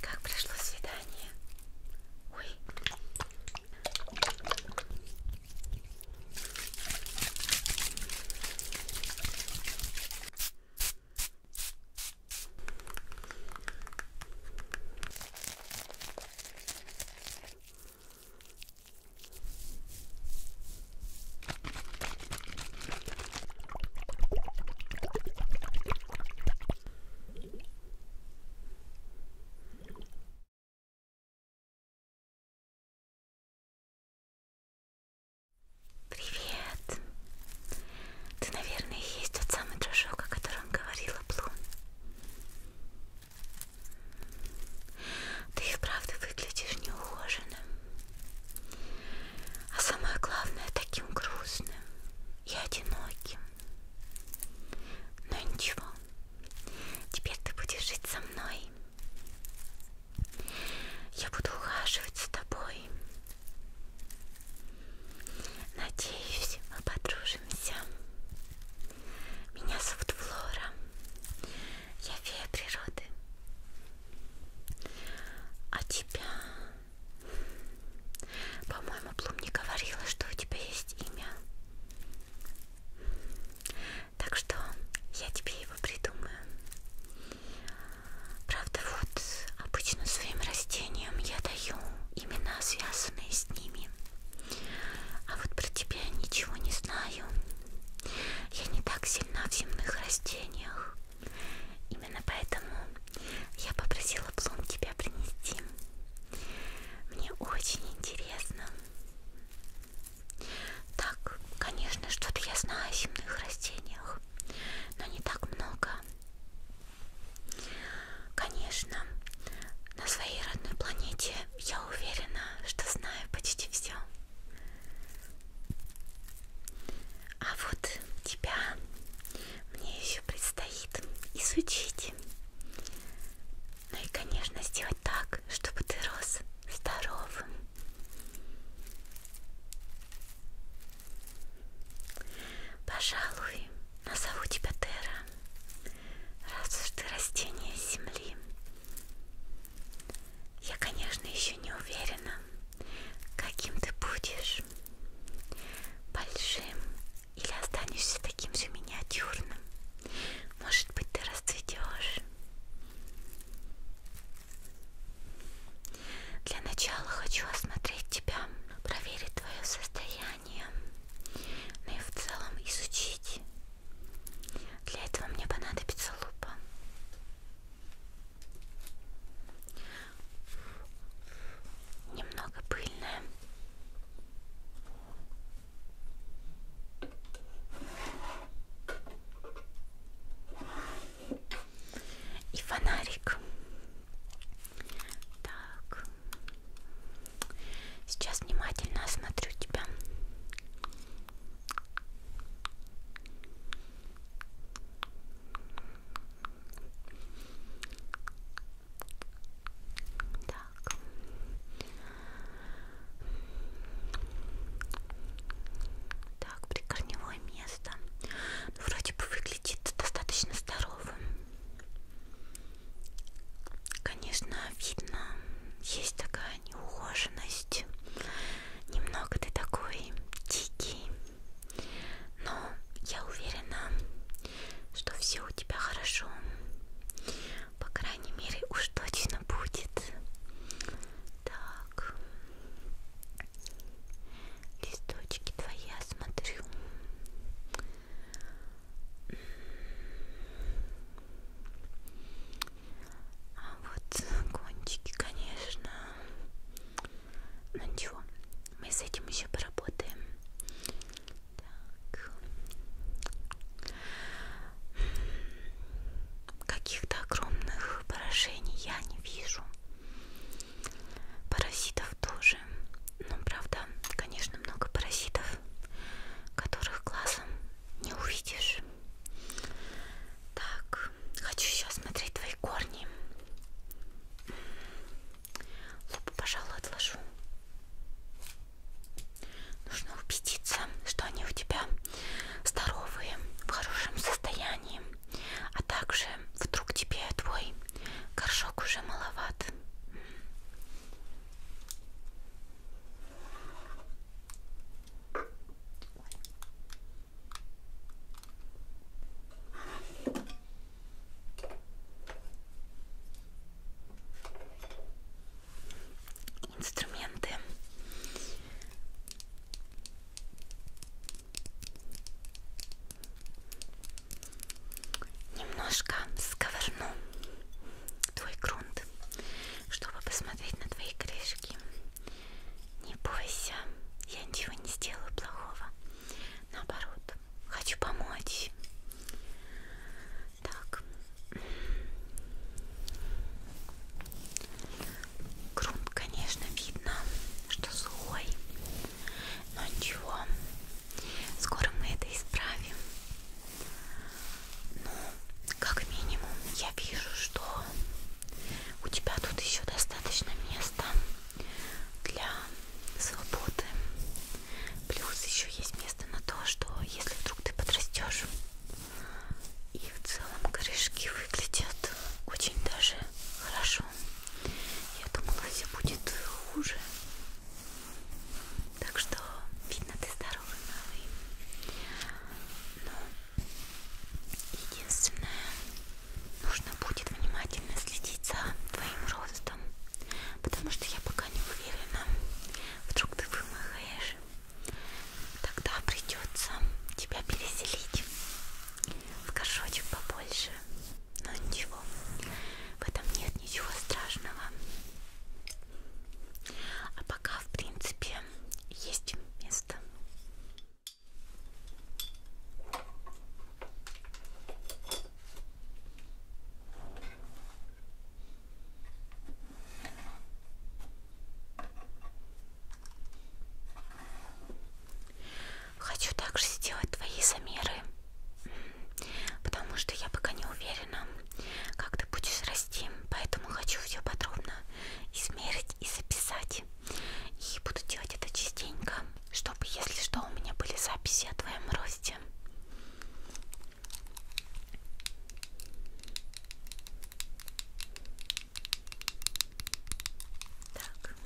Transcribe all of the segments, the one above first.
Как прошло свидание? Ой. Привет! Ты, наверное, есть тот самый дружок, о котором говорила Блум. Ты и правда выглядишь неухоженным. А самое главное, таким грустным и одиноким. Но ничего, теперь ты будешь жить со мной. Я буду ухаживать с тобой. Надеюсь, мы подружимся. Меня зовут Флора. Я фея природы. А тебя? По-моему, Блум не говорила, что у тебя есть имя. Так что я тебе его придумаю. Правда, вот обычно своим растениям я даю имена, связанные с ними. А вот про тебя ничего не знаю. Я не так сильна в земных растениях. Именно поэтому я попросила Блум тебя принести. Мне очень интересно. Так, конечно, что-то я знаю о земных растениях, но не так много. Конечно, на своей родной планете я уверена, что знаю почти все. А вот тебя мне еще предстоит изучить. Ну и, конечно, сделать так, чтобы ты рос здоровым. Пожалуй, назову тебя Тера, раз уж ты растение земли. Я, конечно, еще не уверена, Каким ты будешь? Большим? Или останешься таким же миниатюрным? Может быть, ты расцветешь? Для начала хочу осмотреть тебя, проверить твое состояние, ну и в целом изучить. Для этого мне понадобится лупа. Немного пыльная. И фонарик. Так. Сейчас внимательно осмотрю тебя. Так. Так, прикорневое место. Ну, вроде бы выглядит достаточно здоровым. Конечно, видно, есть такая неухоженность. Немного ты такой дикий, но я уверена, что все у тебя хорошо. По крайней мере, уж точно будет. Так, листочки твои я смотрю. А вот кончики, конечно, ну ничего, мы с этим еще поработаем. Так. Каких-то огромных поражений я не вижу. Паразитов тоже. Но ну, правда, конечно, много паразитов, которых глазом не увидишь тоже. Так, хочу еще смотреть твои корни. Лупу, пожалуй, отложу. Нужно убедиться, что они у тебя здоровые, в хорошем состоянии, а также вдруг тебе твой горшок уже маловат. Ой. Инструменты. Немножко сковырну твой грунт, чтобы посмотреть на твои крышки. Не бойся, я ничего не сделаю плохого. Наоборот, хочу помочь. Так. Грунт, конечно, видно, что сухой. Но ничего. Скоро мы это исправим. Ну, как минимум, я вижу, что у тебя тут еще достаточно места для свободы. Плюс еще есть место на то, что если вдруг ты подрастешь, и в целом корешки выглядят очень даже хорошо. Я думала, все будет хуже. Так что видно, ты здоровый, малый. Но Единственное, нужно будет внимательно следить за твоим ростом, потому что я пока не уверена, вдруг ты вымахаешь, тогда придется тебя переселить в горшочек побольше. Но ничего, в этом нет ничего страшного. А пока, в принципе, есть место. Хочу также сделать твои замеры, потому что я пока не уверена, как ты будешь расти, поэтому хочу все подробно измерить снять и записать. И буду делать это частенько, чтобы, если что, у меня были записи о твоем росте. Так.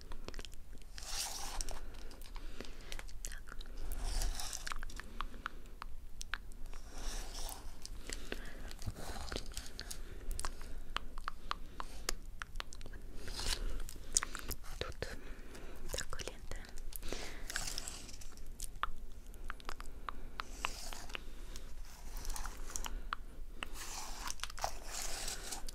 Так. Тут так лента.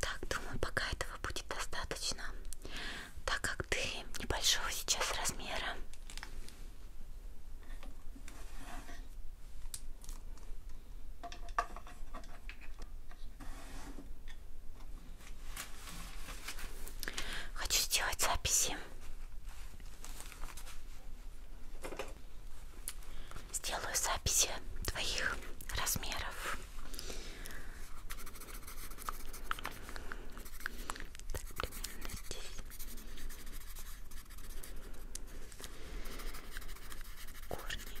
Так, думаю, пока этого будет достаточно, так как ты небольшого сейчас размера. Хочу сделать записи. Сделаю записи твоих размеров. Так, примерно здесь. Корни.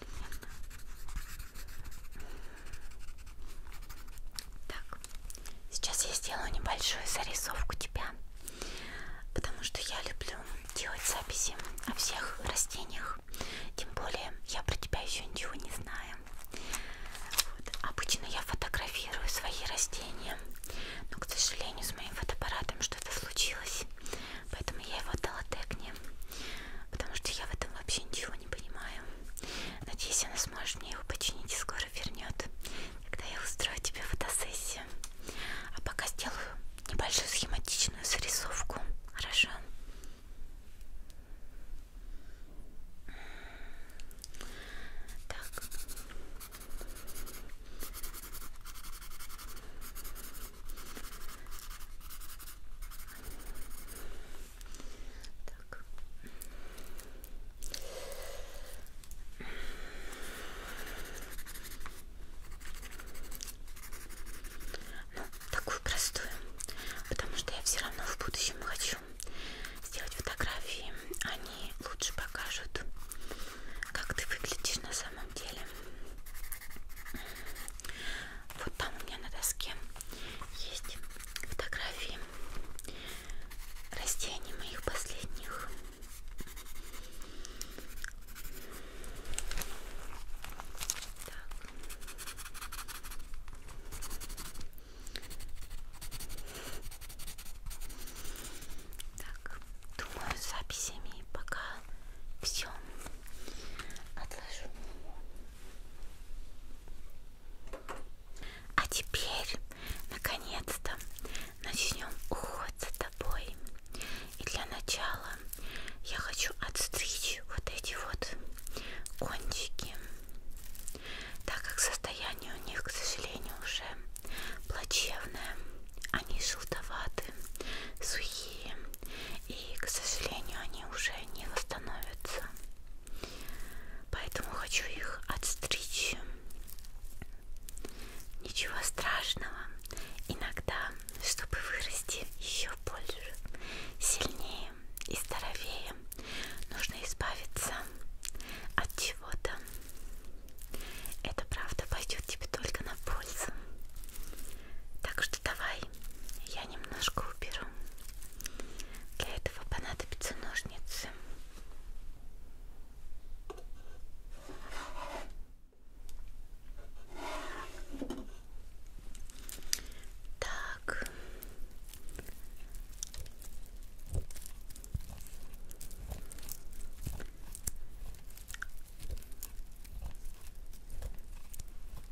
одновременно. Так, сейчас я сделаю небольшую зарисовку тебя, потому что я люблю делать записи о всех растениях. Тем более я про тебя еще ничего не знаю. Вот. Обычно я фотографирую свои растения, но, к сожалению, с моим фотоаппаратом что-то случилось, поэтому я его отдала Тегне потому что я в этом вообще ничего не понимаю. Надеюсь, она сможет мне его починить и скоро вернет, когда я устрою тебе фотосессию. А пока сделаю небольшую схематичную зарисовку. Хорошо? Так. Так. Ну, такую простую, потому что я все равно в будущем хочу сделать фотографии. Они лучше покажут, как ты выглядишь на самом деле. Вот там у меня на доске есть фотографии растений моих последних. Так. так, думаю, с записями пока все отложу. А теперь, наконец-то, начнем уход за тобой. И для начала я хочу отстричь вот эти вот кончики, так как состояние у них, к сожалению, уже плачевное. Они желтоваты, сухие и, к сожалению, они уже не восстановятся. Поэтому хочу их отстричь. Ничего страшного. Иногда, чтобы вырасти еще больше, сильнее и здоровее, нужно избавиться от чего-то. Это правда пойдет тебе только на пользу. Так что вот давай я немножко уберу. Для этого понадобятся ножницы. Так.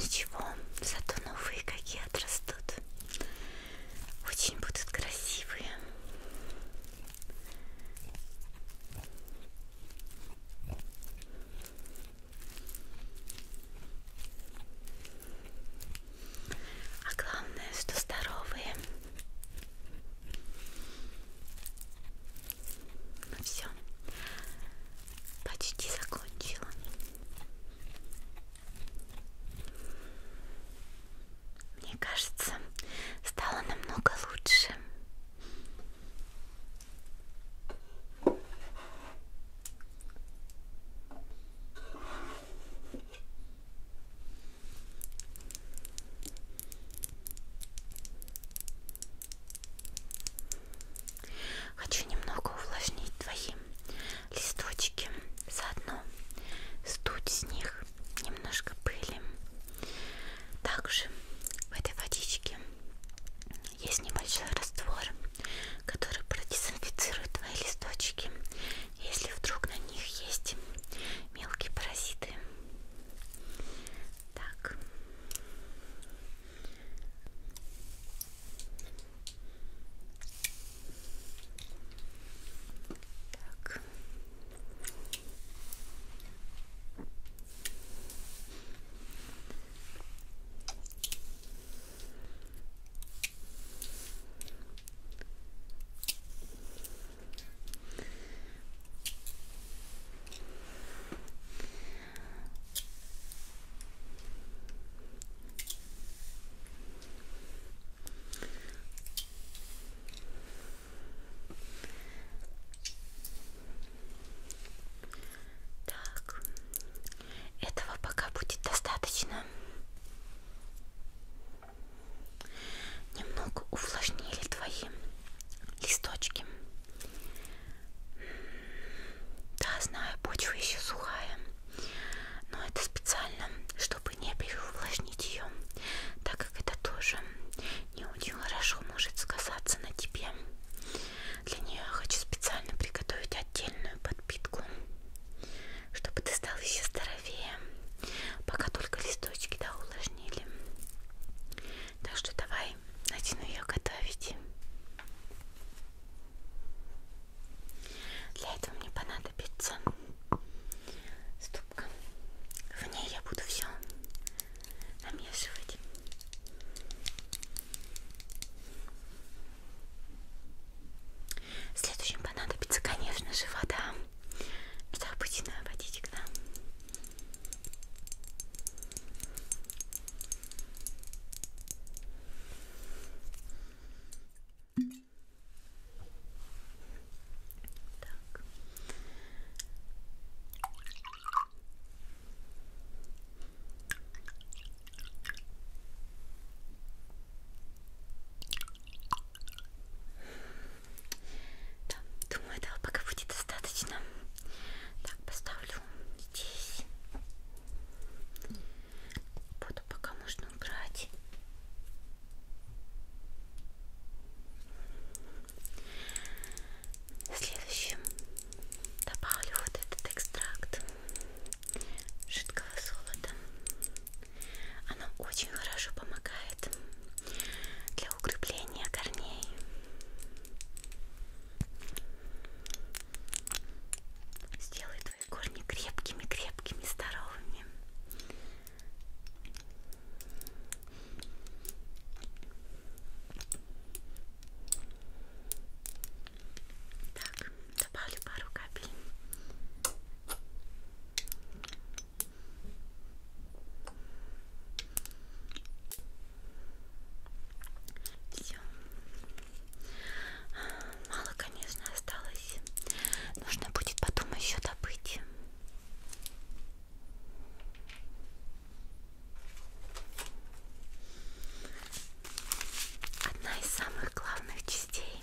Ничего, зато новые какие отрастут. Очень будут красивые. А главное, что здоровые. Ну все, почти закончила. Мне кажется, стало намного лучше. Хочу немного увлажнить твои листочки. Заодно стуть с них немножко пыли. Также в этой водичке есть небольшой раствор, который продезинфицирует твои листочки, если вдруг на них есть мелкие паразиты. Так. Так. Так. Так, этого пока будет достаточно. Немного увлажнили твои листочки. Да, знаю, почва еще сухая, но это специально, чтобы не переувлажнить ее, так как это тоже не очень хорошо может сказаться на тебе. Для нее я хочу специально приготовить отдельную подпитку, чтобы ты стал еще здоровее. Пока только листочки да, увлажнили. Так что давай начну ее готовить. Для этого мне понадобится ступка. В ней я буду все намешивать. Следующим понадобится, конечно же, вода. Это обычная водичка. Так. Да, думаю, этого пока будет достаточно. Так, поставлю здесь. Буду пока можно убрать. Следующим добавлю вот этот экстракт жидкого золота. Оно очень хорошо помогает для для укрепления корней. Сделай твои корни крепкими, крепкими, здоровыми. Так, добавлю пару капель все. Мало, конечно, осталось. Нужно будет потом еще добыть. Одна из самых главных частей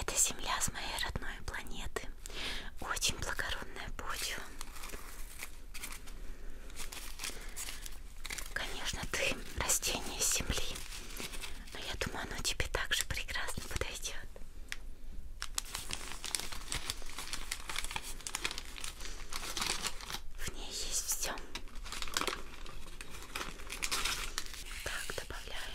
Это земля с моей родной планеты. Очень благородная почва. Конечно, ты растение земли. Но я думаю, оно тебе также прекрасно подойдет. В ней есть все. Так, добавляем.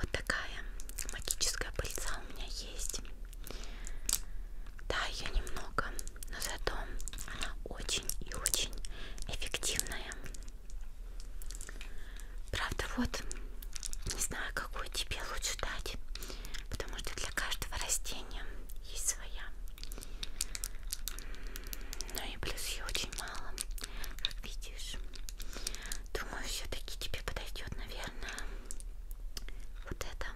Вот такая магическая пыльца у меня есть. Да, ее немного, но зато она очень и очень эффективная. Правда, вот не знаю, какую тебе лучше дать, потому что для каждого растения есть своя. Ну и плюс ее очень мало. Как видишь, думаю, все-таки тебе подойдет, наверное, вот это.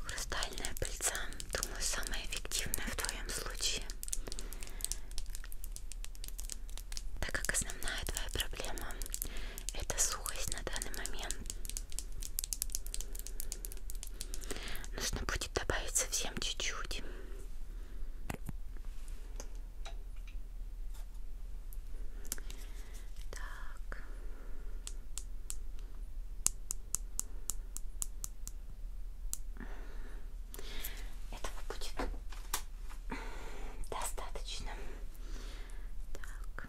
Хрустальная пыльца, думаю, самая эффективная в твоем случае. Так как основная твоя проблема это сухость на данный момент. Нужно будет добавить совсем чуть-чуть. Так. Этого будет достаточно. Так.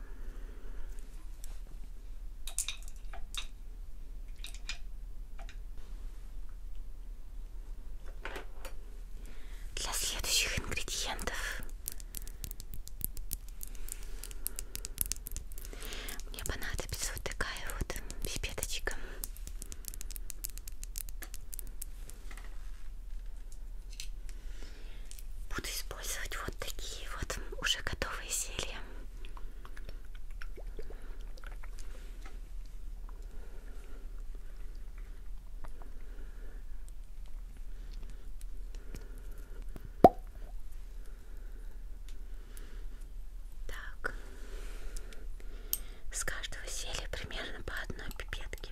Для следующих ингредиентов мне понадобится вот такая вот пипеточка буду использовать вот такие вот уже готовые зелья. Так, с каждого зелья примерно по одной пипетке.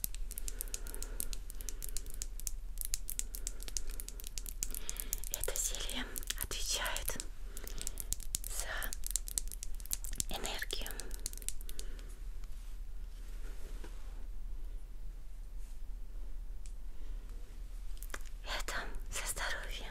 Это зелье отвечает за энергию. Это за здоровье.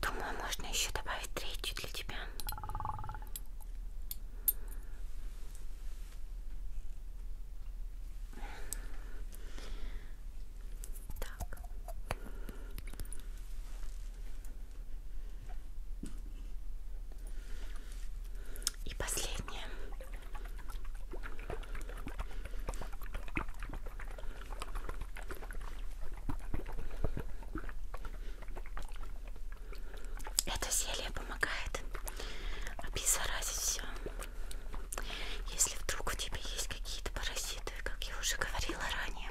Так. Думаю, можно еще добавить третью для тебя. Так. И последнее. Это зелье помогает обеззаразить все. Если вдруг у тебя есть какие-то паразиты, как я уже говорила ранее.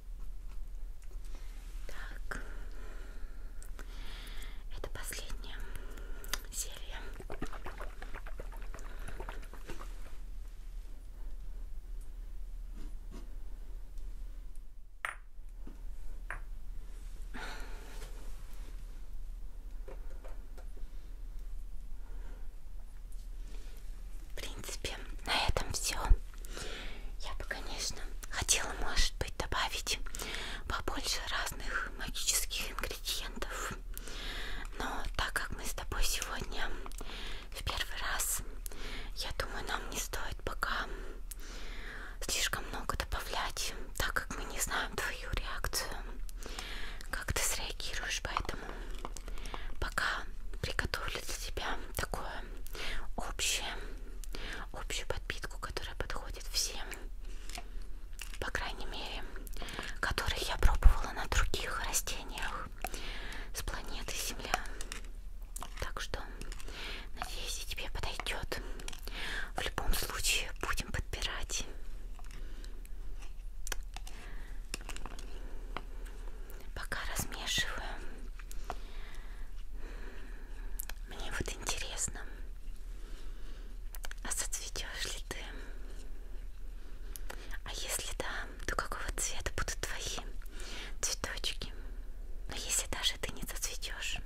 Так, это последняя серия в принципе, на этом все. Я бы, конечно, хотела, может быть, добавить побольше разных магических ингредиентов. Но так как мы с тобой сегодня в первый раз, я думаю, нам не стоит пока слишком много добавлять, так как мы не знаем твою реакцию, как ты среагируешь, поэтому пока приготовлю для тебя такую общую, общую подпитку, которая подходит всем, по крайней мере, которых я пробовала на других растениях с планеты Земля. Так что, надеюсь, и тебе подойдет. В любом случае, будем подбирать пока размешиваем. Мне вот интересно, а зацветешь ли ты? А если да, то какого цвета будут твои цветочки? Но если даже ты не зацветешь,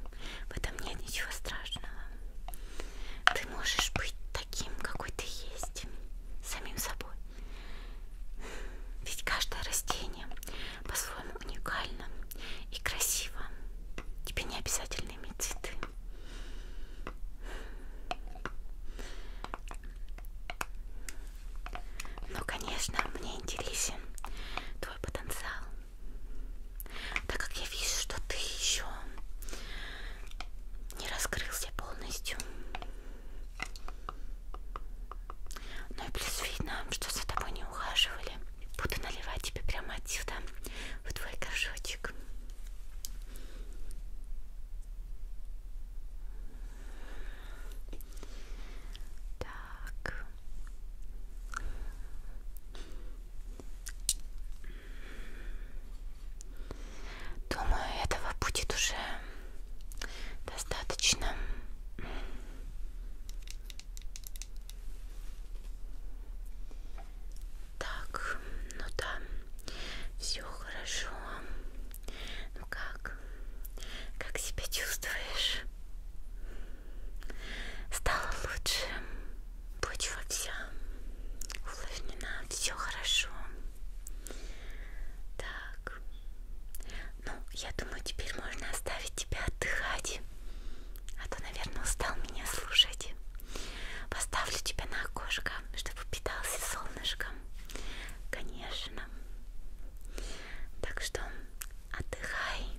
в этом нет ничего страшного. Ты можешь быть таким, какой ты есть, самим собой. Ведь каждое растение по-своему уникально и красиво. Тебе не обязательно иметь цветы. Но, конечно, мне интересен твой потенциал. Так как я вижу, что ты еще не раскрылся полностью. Ну и плюс видно, что за тобой не ухаживали. Буду наливать тебе прямо отсюда в твой горшочек. Так. Думаю, этого будет уже достаточно так ну да все хорошо ну как как себя чувствуешь стало лучше почва вся увлажнена все хорошо так так. Ну, я думаю, теперь можно оставить тебя отдыхать. А то, наверное, устал меня слушать. Поставлю тебя на окошко, чтобы питался солнышком. Конечно. Так что отдыхай.